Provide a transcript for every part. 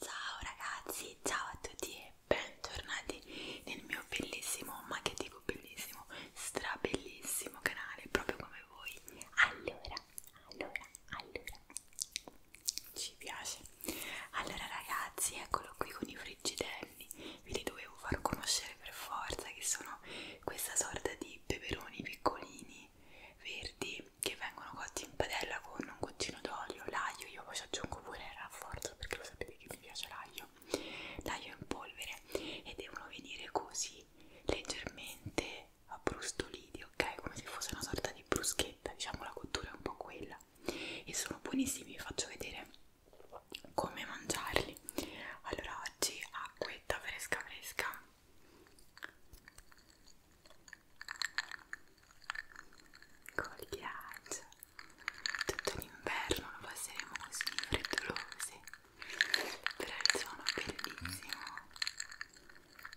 Ciao ragazzi, ciao a tutti e bentornati nel mio bellissimo, ma che dico bellissimo, strabellissimo canale, proprio come voi. Allora, allora, allora, ci piace. Allora ragazzi, eccolo qui con i friggitelli, ve li dovevo far conoscere per forza, che sono questa sorta di peperoni piccolini pomodori verdi che vengono cotti in padella con un goccino d'olio, l'aglio, io poi ci aggiungo pure il rafforzo perché lo sapete che mi piace l'aglio, l'aglio in polvere e devono venire così leggermente abbrustoliti, ok? Come se fosse una sorta di bruschetta, diciamo la cottura è un po' quella e sono buonissimi, vi faccio vedere come mangiarli allora oggi acquetta fresca fresca col ghiaccio tutto l'inverno lo passeremo così freddolosi però il suono è bellissimo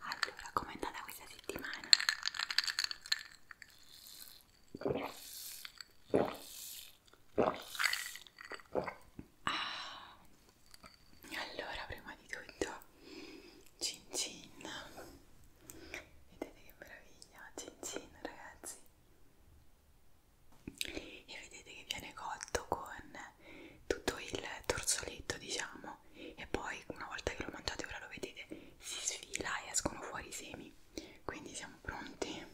allora com'è andata questa settimana? Ah, allora prima di tutto cin cin vedete che meraviglia cin cin ragazzi e vedete che viene cotto con tutto il torsoletto diciamo e poi una volta che lo mangiate ora lo vedete si sfila e escono fuori i semi quindi siamo pronti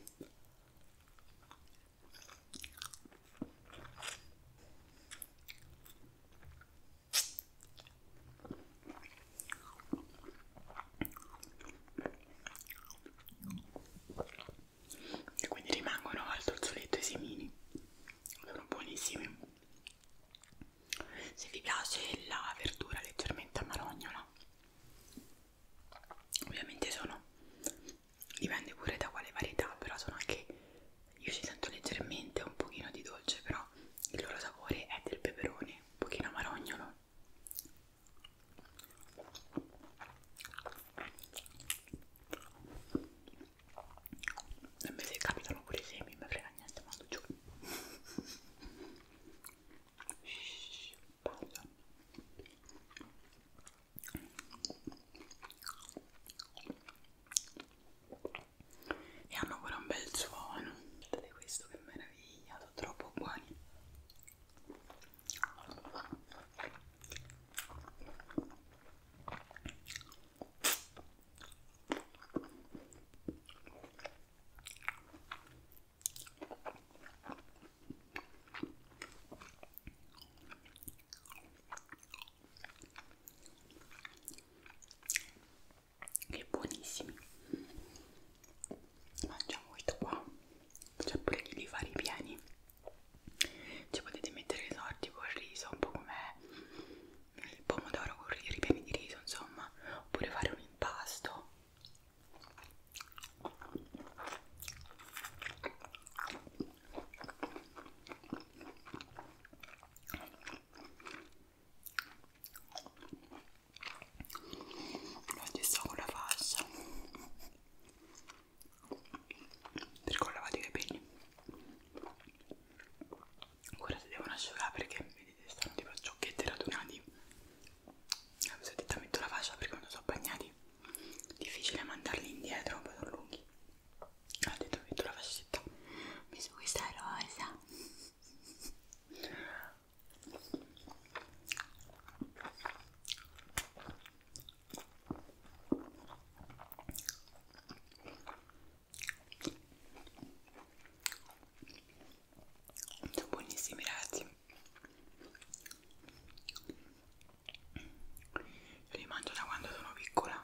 e quindi rimangono al torzoletto i semini sono buonissimi se vi piace la verdura leggermente amarognola ovviamente sono dipende pure da quale varietà però sono anche io ci sento leggermente un pochino di dolce però il loro sapore è del peperone un pochino amarognolo e me se capitano pure i semi mi frega niente mando giù e hanno pure un bel suono guardate questo che meraviglia sono troppo buoni che buonissimi mangiamo questo qua c'è pure chi li fa ripieni ci potete mettere i sorti con il riso un po' come il pomodoro con i ripieni di riso insomma oppure fare un impasto la stessa con la falsa perché ho lavato i capelli ora si devono asciugare perché vedete stanno tipo ciocchetti radunati ho detto metto la faccia perché non sono bagnati difficile mandarli indietro per lunghi ho detto che tu la fascetta mi su questa rosa sono buonissimi ragazzi io li mangio da quando sono piccola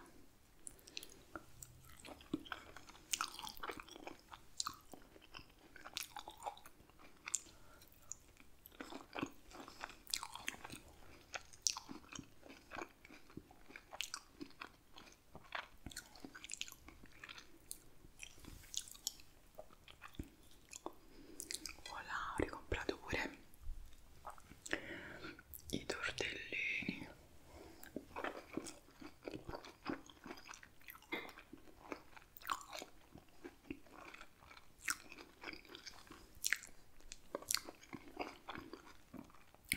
voilà ho ricomprato pure i tortellini me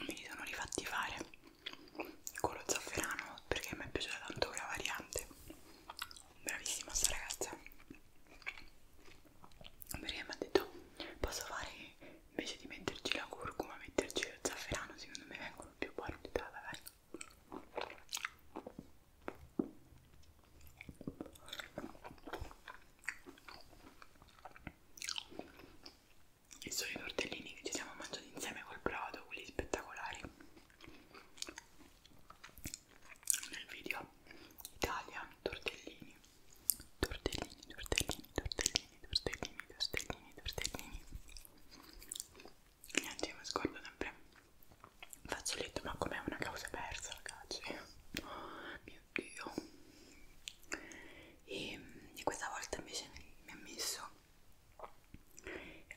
li sono rifatti fare con lo zafferano perché mi è piaciuta tanto quella variante bravissima sta ragazza perché mi ha detto posso fare invece di metterci la curcuma metterci lo zafferano secondo me vengono più buoni di te e sono i tortellini che ci siamo mangiati insieme col prato quelli spettacolari nel video Italia tortellini tortellini tortellini tortellini tortellini tortellini tortellini niente io mi scordo sempre fazzoletto ma com'è una causa persa ragazzi oh, mio dio e, mm, e questa volta invece mi ha messo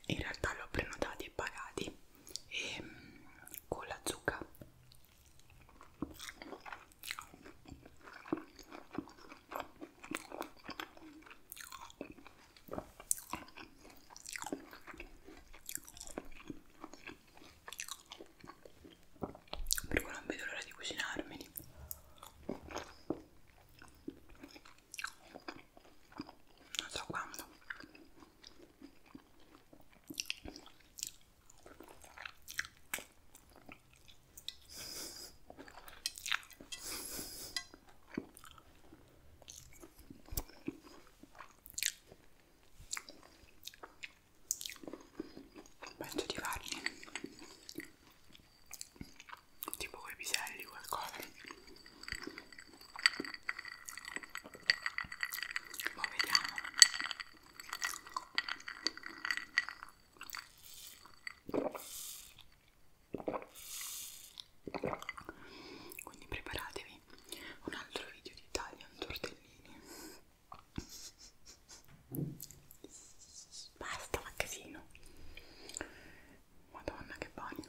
in realtà l'ho prenotati e pagati e ehm, con la zucca per cui non vedo l'ora di cucinarmeli non so quando penso di farli tipo coi piselli qualcosa poi vediamo quindi preparatevi un altro video di Italian tortellini basta ma casino Madonna che bagno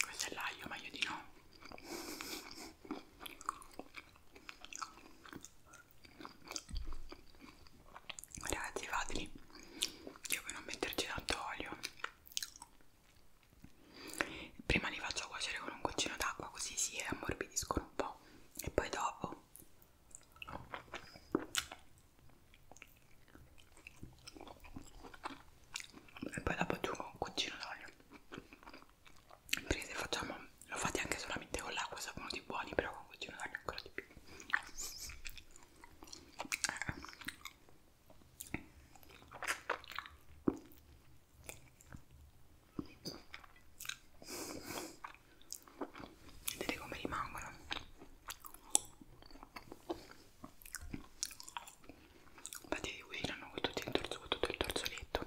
questo è l'aglio ma io di no ragazzi fateli io per non metterci tanto olio prima li faccio cuocere con un goccino d'acqua così si ammorbidiscono un po' e poi dopo e poi dopo aggiungo un goccino d'olio quindi se facciamo lo fate anche solamente con l'acqua sono venuti buoni però con continuo a darne ancora di più vedete come rimangono infatti li cucinano con tutto il torso con tutto il torsoletto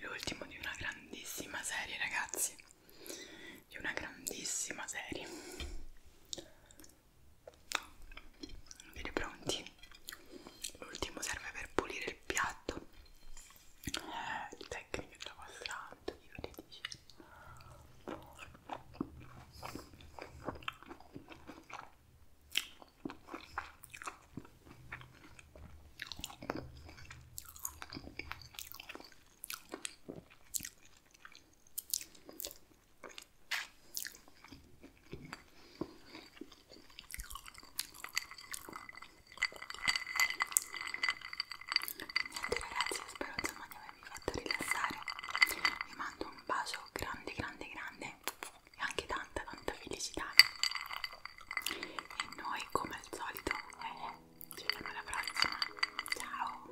l'ultimo di una grandissima serie ragazzi di una grandissima serie vedete pronti l'ultimo serve per pulire il piatto eh, tecniche della vostra alta io ti dice Niente ragazzi, spero insomma di avervi fatto rilassare. Vi mando un bacio grande, grande, grande e anche tanta tanta felicità e noi come al solito eh, ci vediamo alla prossima ciao